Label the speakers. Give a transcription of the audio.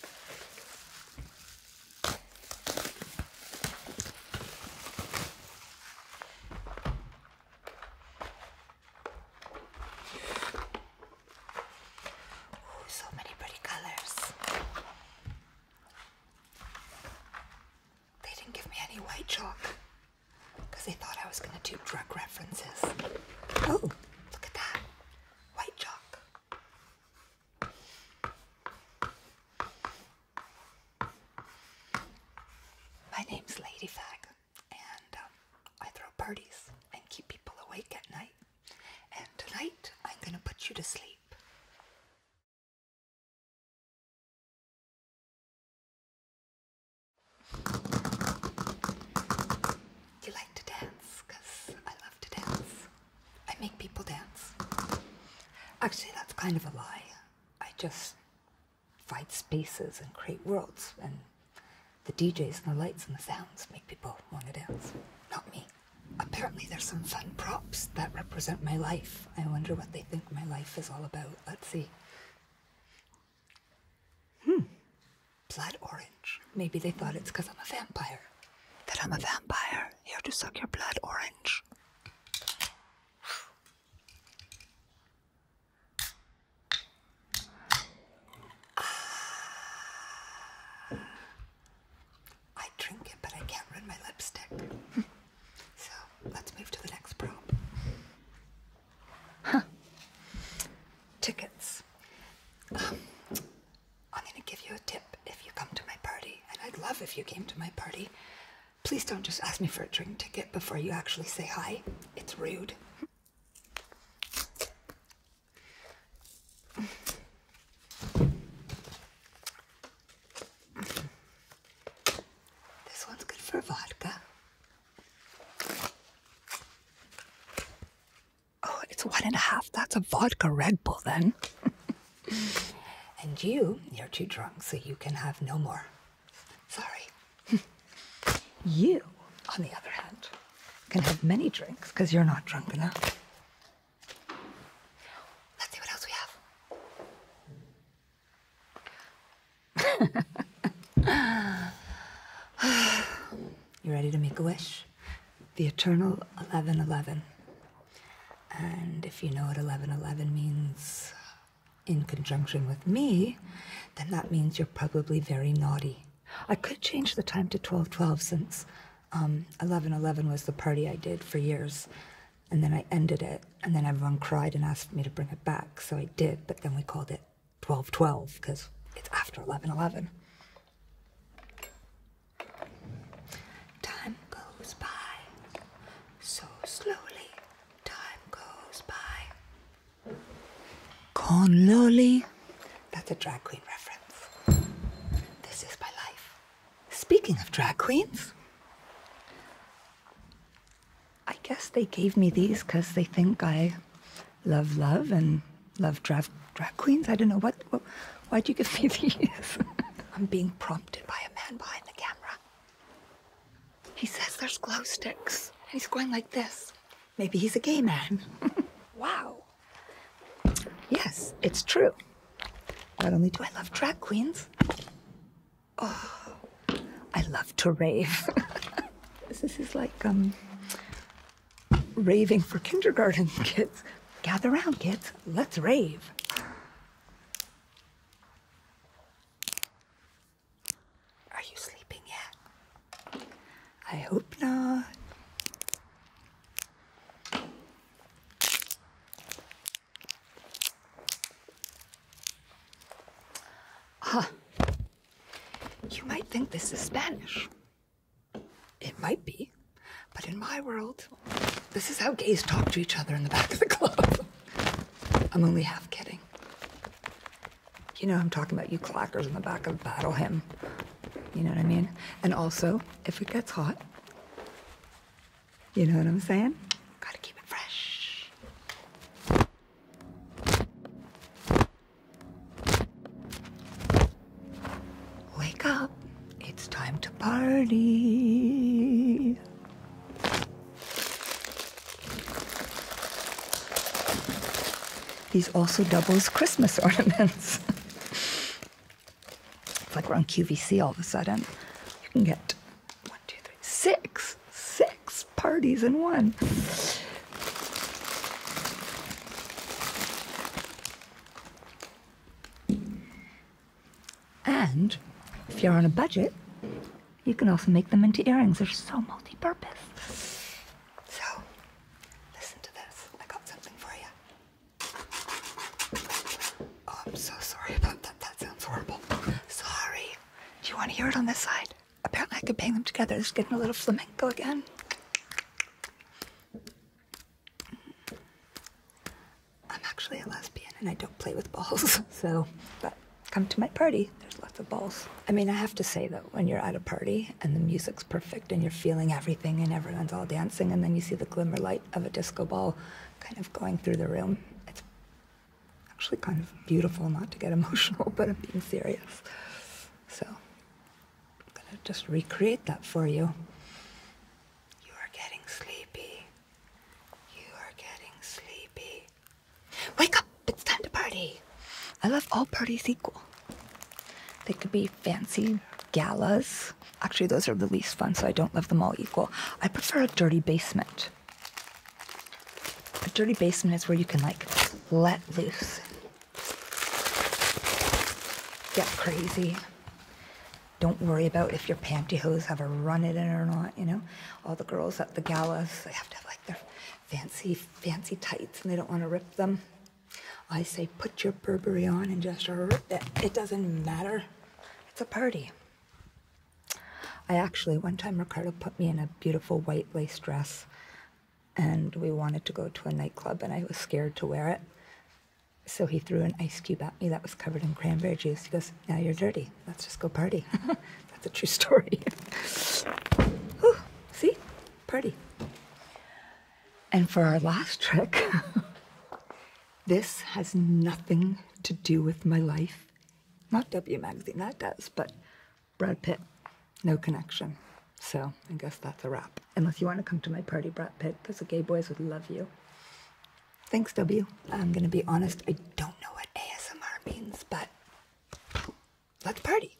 Speaker 1: Oh, so many pretty colors. They didn't give me any white chalk because they thought I was going to do drug references. Oh, look at that. White chalk. My name's Ladyfag, and um, I throw parties and keep people awake at night. And tonight, I'm gonna put you to sleep you like to dance, because I love to dance. I make people dance. Actually, that's kind of a lie. I just fight spaces and create worlds, and the DJs and the lights and the sounds make people want to dance, not me. Apparently, there's some fun props that represent my life. I wonder what they think my life is all about. Let's see. Hmm. Blood orange. Maybe they thought it's because I'm a vampire. That I'm a vampire here to suck your blood orange. I drink it, but I can't rid my lipstick. so let's move to the next prop. Tickets. I'm going to give you a tip if you come to my party, and I'd love if you came to my party. Please don't just ask me for a drink ticket before you actually say hi. It's rude. This one's good for vodka. Oh, it's one and a half. That's a vodka Red Bull then. and you, you're too drunk, so you can have no more. Sorry. you, on the other hand, can have many drinks because you're not drunk enough. Let's see what else we have. You ready to make a wish? The eternal 1111. And if you know what 1111 means in conjunction with me, then that means you're probably very naughty. I could change the time to 1212 since 1111 um, was the party I did for years. And then I ended it, and then everyone cried and asked me to bring it back, so I did, but then we called it 12 12 because it's after 11 11. Time goes by so slowly. Time goes by. Con Loli. That's a drag queen reference. This is my life. Speaking of drag queens, I guess they gave me these because they think I love love and love drag, drag queens. I don't know what, Why'd you give me these? I'm being prompted by a man behind the camera. He says there's glow sticks, he's going like this. Maybe he's a gay man. wow. Yes, it's true. Not only do I love drag queens, oh, I love to rave. this is like um, raving for kindergarten kids. Gather round, kids. Let's rave. Are you sleeping yet? I hope not. Ah, you might think this is Spanish. It might be. But in my world, this is how gays talk to each other in the back of the club. I'm only half kidding. You know, I'm talking about you clackers in the back of Battle Hymn. You know what I mean? And also, if it gets hot, you know what I'm saying? Gotta keep it fresh. Wake up. It's time to party. These also double as Christmas ornaments. it's like we're on QVC all of a sudden. You can get one, two, three. Six, six parties in one. And if you're on a budget, you can also make them into earrings. They're so multi purpose. So, listen to this. I got something for you. Oh, I'm so sorry about that. That sounds horrible. Sorry. Do you want to hear it on this side? Apparently I could bang them together. It's getting a little flamenco again. I'm actually a lesbian and I don't play with balls, so but come to my party. There's lots of balls. I mean, I have to say though, when you're at a party and the music's perfect and you're feeling everything and everyone's all dancing and then you see the glimmer light of a disco ball kind of going through the room, it's actually kind of beautiful not to get emotional, but I'm being serious. So I'm going to just recreate that for you. You are getting sleepy. You are getting sleepy. Wake up! It's time to party! I love all parties equal. They could be fancy galas. Actually, those are the least fun, so I don't love them all equal. I prefer a dirty basement. A dirty basement is where you can like let loose, get crazy. Don't worry about if your pantyhose have a run in or not, you know? All the girls at the galas, they have to have like their fancy, fancy tights and they don't want to rip them. I say put your Burberry on and just rip it. It doesn't matter. It's a party. I actually, one time Ricardo put me in a beautiful white lace dress and we wanted to go to a nightclub and I was scared to wear it. So he threw an ice cube at me that was covered in cranberry juice. He goes, Now you're dirty. Let's just go party. That's a true story. see? Party. And for our last trick, This has nothing to do with my life. Not W Magazine, that does, but Brad Pitt, no connection. So I guess that's a wrap. Unless you want to come to my party, Brad Pitt, because the gay boys would love you. Thanks, W. I'm going to be honest, I don't know what ASMR means, but let's party.